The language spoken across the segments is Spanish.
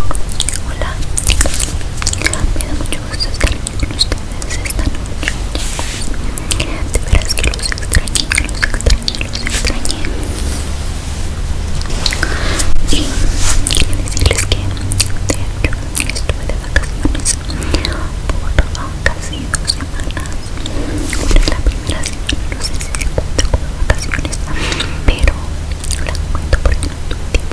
Hola, me da mucho gusto estar aquí con ustedes esta noche, De De veras que los extrañé, los extrañé, los extrañé. Y quería decirles que, de hecho, estuve de vacaciones por casi dos semanas. es la primera semana no sé si se cuenta como vacaciones, pero la cuento porque no tuve tiempo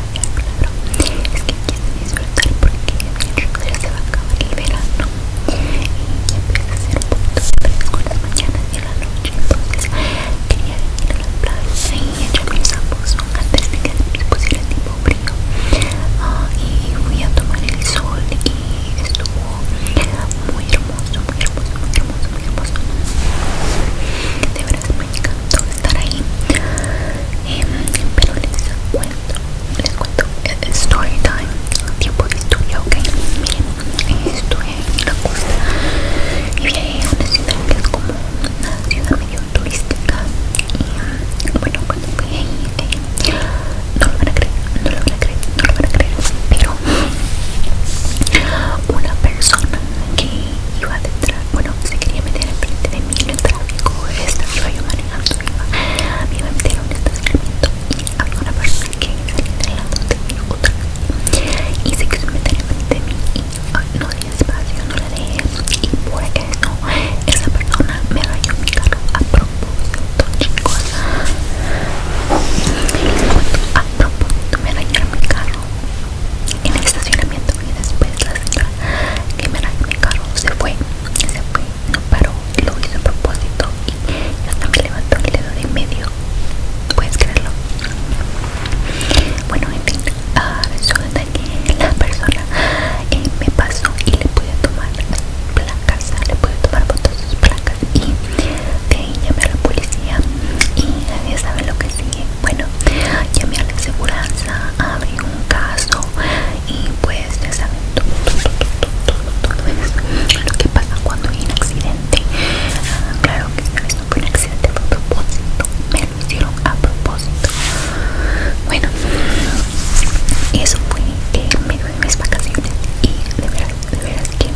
es que quiero disfrutar porque ya se va a acabar el verano y empieza a ser un poquito fresco las mañanas y en la noche, entonces quería ir a la plaza y echarme un zapatos antes de que se pusiera tipo frío y fui a tomar el sol y estuvo muy hermoso, muy hermoso, muy hermoso, muy hermoso de verdad me encantó estar ahí em, pero les cuento les cuento eh, eh, story time tiempo de historia ok miren estoy en la costa y vi una ciudad que es como una ciudad medio turística y em, bueno cuando fui ahí este, no lo van a creer no lo van a creer no lo van a creer pero una persona que iba detrás bueno si se quería meter enfrente de mí en el tráfico. esta iba yo manejando, iba, me iba a meter a un estacionamiento y había una persona que salía del lado de mi otra y se quiso meter enfrente de mí y no di espacio, no la eso y por eso esa persona me rayó mi carro a propósito, chicos. a propósito me dañaron mi carro en el estacionamiento y después la señora que me mi carro se fue, se fue, no paró, lo hizo a propósito y hasta me levantó el dedo de medio, puedes creerlo. Bueno, en fin, ah, resulta que la persona eh, me pasó y le pude tomar placas, le pude tomar fotos sus placas y de ahí llamé a la policía y nadie sabe lo que sigue bueno, llamé a la seguranza, abrí un caso y pues ya saben todo, todo, Lo que pasa cuando hay un accidente. Ah, claro que esta no fue un accidente a propósito. Me lo hicieron a propósito. Bueno, eso fue que me dio mis vacaciones y de verdad de veras que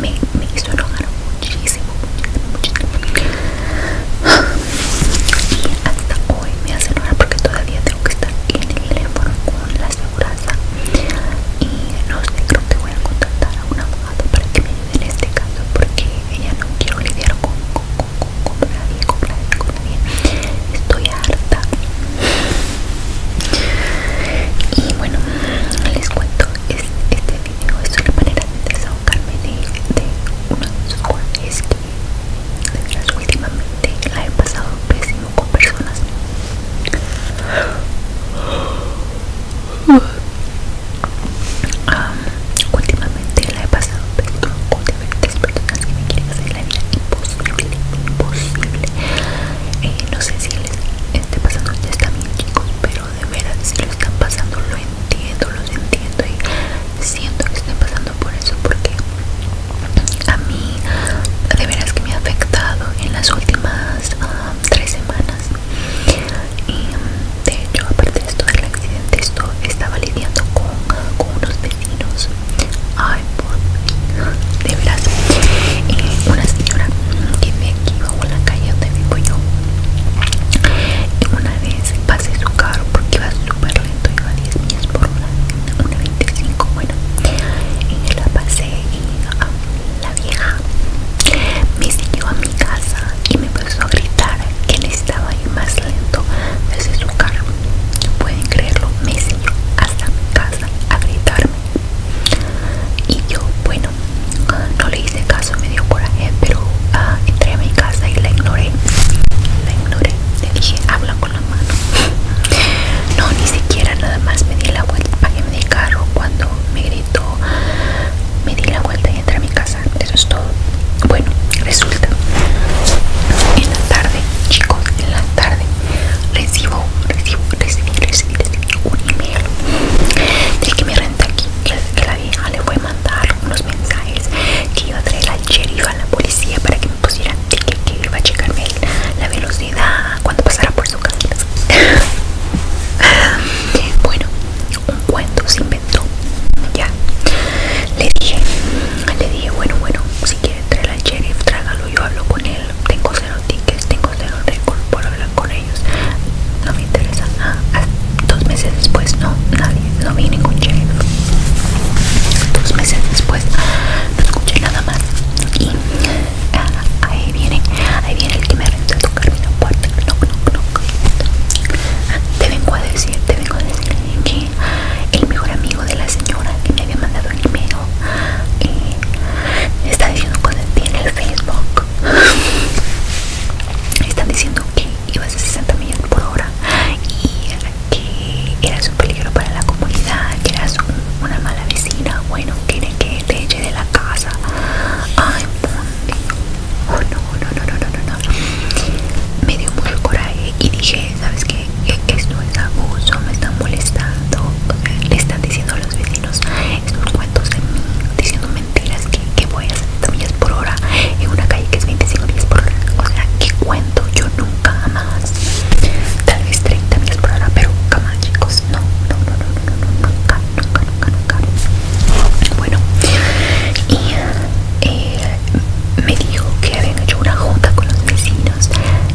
me, me hizo enojar muchísimo, muchísimo, muchísimo y hasta hoy me hacen horas porque todavía tengo que estar en el teléfono con la aseguranza y no sé, creo que voy a contactar a un abogado para que me ayude en este caso porque ya no quiero lidiar con, nadie, con nadie, estoy harta y bueno, les cuento, este video es una manera de desahogarme de, unos es que verdad, últimamente la he pasado pésimo con personas últimamente la he pasado pésimo con diferentes personas que me quieren hacer la vida imposible imposible eh, no sé si les esté pasando ya está bien chicos pero de verdad si lo están pasando lo entiendo los entiendo y siento que estoy pasando por eso porque a mí de veras que me ha afectado en las últimas ah, tres semanas y de hecho aparte de esto del accidente esto estaba lidiando con, unos vecinos de veras una señora que me aquí bajo la calle donde vivo yo una vez Pasé su carro porque iba super lento, iba 10 millas por hora, una 25, bueno. Y la pasé y la vieja me siguió a mi casa y me empezó a gritar que estaba ahí más lento desde su carro. No pueden creerlo, me siguió hasta mi casa a gritarme. Y yo, bueno, no le hice caso, me dio coraje, pero ah, entré a mi casa y la ignoré. La ignoré. Le dije, habla con la mano. No, ni siquiera nada más me di la vuelta. Pagué mi carro cuando me gritó. Me di la vuelta y entré a mi casa. Eso es todo. Bueno, resulta. En la tarde, chicos, en la tarde recibo, recibo, recibí, recibí, recibí un email de que me renta aquí, le voy a mandar unos mensajes que iba a traer al sheriff a la policía para que me pusiera ticket que iba a checarme la velocidad cuando pasara por su casa bueno un cuento se inventó ya le dije le dije bueno bueno si quiere traer al sheriff trágalo yo hablo con él tengo cero tickets tengo cero récord por hablar con ellos no me interesa ti Dos meses después no, nadie, no vi ningún Dos meses después no escuché nada más. Y ah, ahí viene, ahí viene el que me renta a tocar mi puerta. No, no, no. te vengo a decir, te vengo a decir que el mejor amigo de la señora que me había mandado el email eh, está diciendo cosas en el Facebook. Están diciendo que ibas a 60 millas por hora y que eras un peligro para la comunidad, que eras una mala vecina, bueno, quieren que te eche de la casa. Ay, oh, no, no, no, no, no, no. Me dio mucho coraje y dije, ¿sabes qué? E, esto es abuso, me están molestando, le están diciendo a los vecinos estos cuentos de mí, diciendo mentiras que, voy a 70 millas por hora en una calle que es 25 millas por hora. O sea, que cuento yo nunca jamás. Tal vez 30 millas por hora, pero jamás, chicos. No, no, no, no, no, nunca, nunca, nunca, Bueno, y eh, me dijo que habían hecho una junta con los vecinos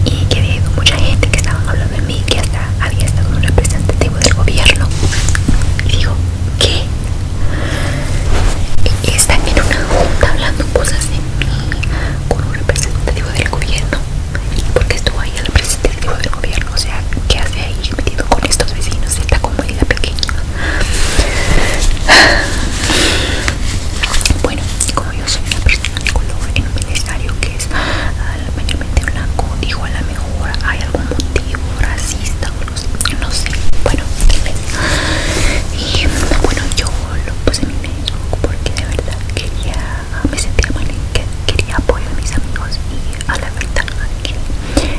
y que había mucha gente que estaban hablando de mí, que hasta había estado un representativo del gobierno. Y digo, ¿qué? están en una junta hablando cosas de mí con un representativo del gobierno porque estuvo ahí el representativo del gobierno o sea que hace ahí metido con estos vecinos de esta comunidad pequeña bueno como yo soy una persona de color en un ministerio que es ah, mayormente blanco digo a lo mejor hay algún motivo racista no sé bueno y bueno yo lo puse en mi médico porque de verdad quería me sentía mal en que quería apoyo a mis amigos y a la verdad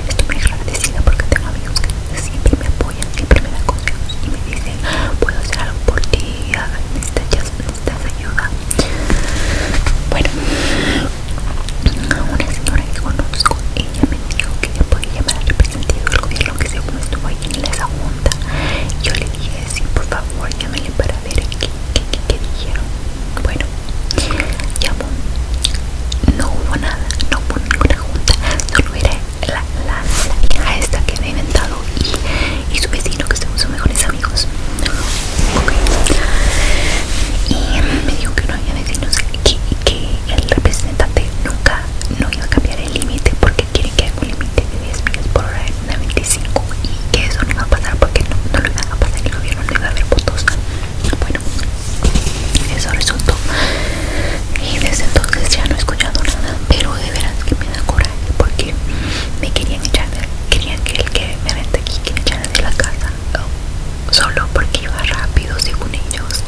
estoy muy agradecida porque tengo amigos que siempre me apoyan siempre me dan consejos y me dicen puedo hacer algo por ti ah, necesitas, ayuda bueno una señora que conozco ella me dijo que podía llamar al sentido lo gobierno que se estuvo ahí en esa junta. Yo le dije, sí, por favor, llámele para ver qué, qué, dijeron. Bueno, llamó. No hubo nada, no hubo ninguna junta. Solo era la, la, esta que he inventado y, y su vecino que son sus mejores amigos. Y me dijo que no había vecinos, que, que el representante nunca no iba a cambiar el límite porque quieren que haga un límite de 10 por hora en una 25 y que eso no iba a pasar porque no, lo iba a pasar el gobierno, no iba a haber votos. Bueno, eso resultó. Y desde entonces ya no he escuchado nada, pero de veras que me da coraje porque me querían echar, querían que el que me vente aquí que me de la casa. Oh, solo porque iba rápido según ellos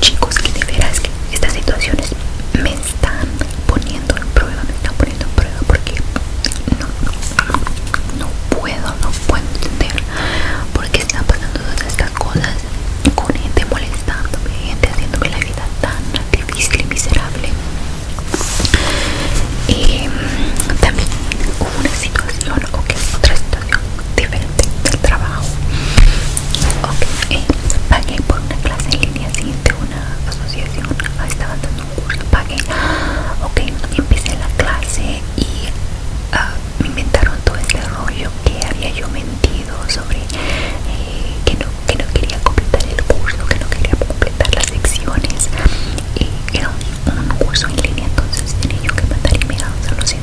Chicos, que de veras que estas situaciones me están poniendo en prueba, me están poniendo en prueba porque no, puedo, no puedo entender por qué están pasando todas estas cosas con gente molestándome, gente haciéndome la vida tan difícil y miserable. y eh, también hubo una situación, o que otra situación diferente del trabajo ok eh, pagué por una clase en línea sí, una asociación ah, estaba dando un curso pagué ok empecé la clase y ah, me inventaron todo este rollo que había yo mentido sobre eh, que no quería completar el curso que no quería completar las secciones y era un, curso en línea entonces tenía yo que mandar y solo si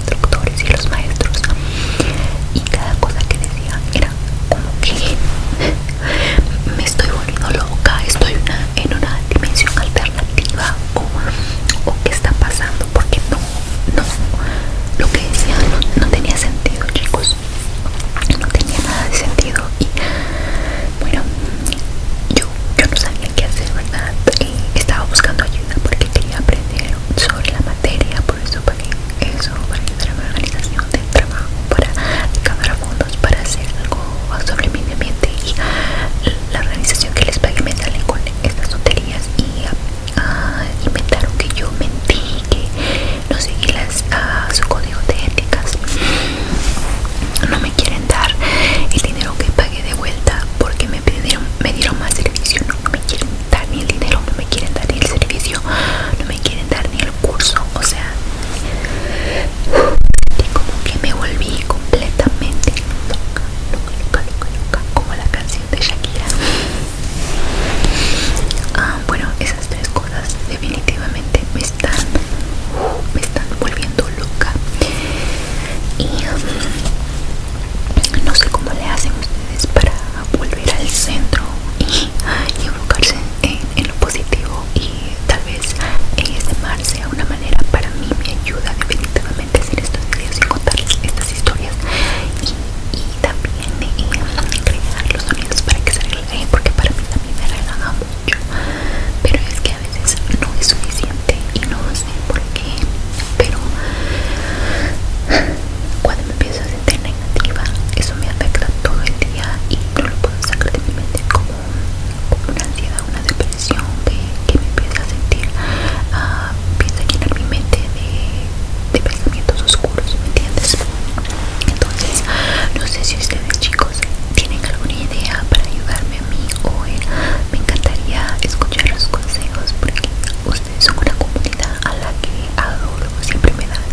y los maestros y cada cosa que decía era como que me estoy volviendo loca, estoy una, en una dimensión alternativa o, o qué está pasando porque no, no, lo que decía no, tenía sentido chicos, no tenía nada de sentido y bueno yo, yo no sabía qué hacer verdad, estaba buscando allí porque quería aprender sobre la materia, por eso pagué eso para ayudar a mi organización de trabajo, para ganar fondos, para hacer algo sobre mi ambiente y la organización que les pagué me sale con estas tonterías y ah, inventaron que yo mentí, que no seguí las, ah, su código de éticas. No me quieren dar el dinero que pagué de vuelta porque me pidieron, me dieron más servicio, no, me quieren dar ni el dinero, no me quieren dar ni el servicio, no me quieren dar ni el curso, o sea, como que me volví completamente loca, loca, loca, loca, loca, como la canción de Shakira. Ah, bueno, esas tres cosas definitivamente me están, me están volviendo loca. Y no sé cómo le hacen ustedes para volver al centro y, y enfocarse en, lo positivo y tal vez este mar a una manera para mí me ayuda definitivamente hacer estos videos y contar estas historias y, también eh, los sonidos para que se relaje, porque para mí también me relaja mucho pero es que a veces no es suficiente y no sé por pero cuando me empiezo a sentir negativa, eso me afecta todo el día y no lo puedo sacar de mi mente como, una ansiedad, una depresión que, me empieza a sentir, ah, empieza a llenar mi mente de, pensamientos oscuros, ¿me entiendes? Entonces, no sé si ustedes chicos tienen alguna idea para ayudarme a mí o me encantaría escuchar los consejos porque ustedes son una comunidad a la que adoro. Siempre me dan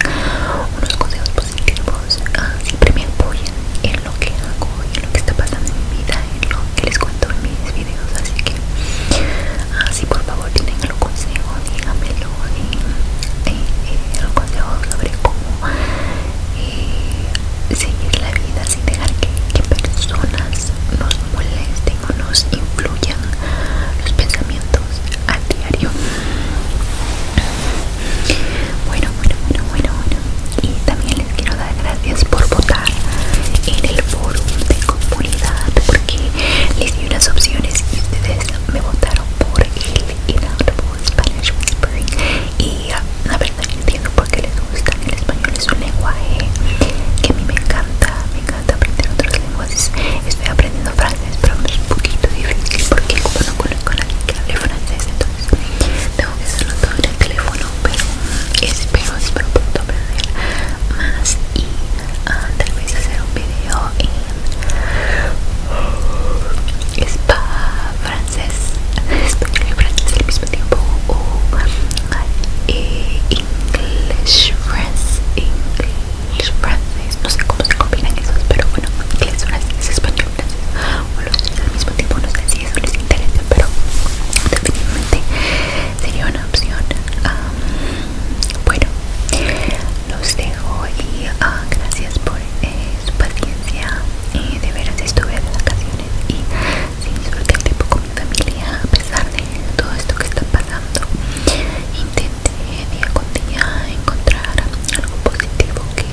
unos consejos positivos, ah, siempre me apoyan en lo que hago, en lo que está pasando en mi vida, en lo que les cuento en mis videos. Así que, ah, si por favor tienen los consejo, díganmelo. los consejos sobre cómo eh, seguir la vida sin dejar que personas nos, molesten o nos influyan los pensamientos a diario. Bueno, bueno, bueno, bueno, Y también les quiero dar gracias por votar en el foro de comunidad porque les di unas opciones y ustedes me votaron por el Inaudible Spanish Whispering. Y ah, la verdad no entiendo por qué les gusta el español es un lenguaje que a mí me encanta me encanta aprender otras lenguas estoy aprendiendo francés pero es un poquito difícil porque como no conozco a nadie que hable francés entonces tengo que hacerlo todo en el teléfono pero espero espero pronto aprender más y antes, ah, tal vez hacer un video en spa francés español y francés al mismo tiempo uh, English eh, no sé cómo se combinan esos, pero bueno, Inglés Frances, Español francés, o los dos al mismo tiempo, no sé si eso les interesa, pero definitivamente sería una opción. bueno, los dejo y ah, gracias por eh, su paciencia. Eh, de veras estuve de vacaciones y sí, disfruté el tiempo con mi familia a pesar de todo esto que está pasando intenté día con día encontrar algo positivo que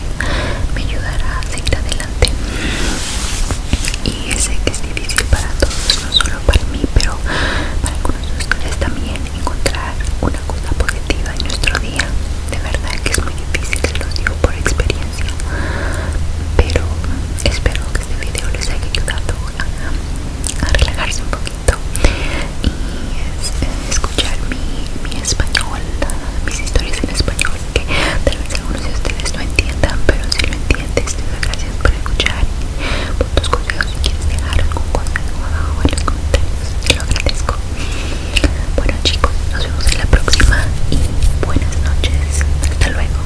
me ayudará a seguir adelante y sé que es difícil para todos, no solo para mí pero para algunos de ustedes también encontrar una cosa positiva en nuestro día de verdad que es muy difícil, se lo digo por experiencia pero espero que este video les haya ayudado a, relajarse un poquito y escuchar mi, español, mis historias en español que tal vez algunos de ustedes no entiendan, pero si lo entiendes te doy gracias por escuchar por tus consejos, si quieres dejar algún consejo abajo en los comentarios, te lo agradezco bueno chicos, nos vemos en la próxima y buenas noches, hasta luego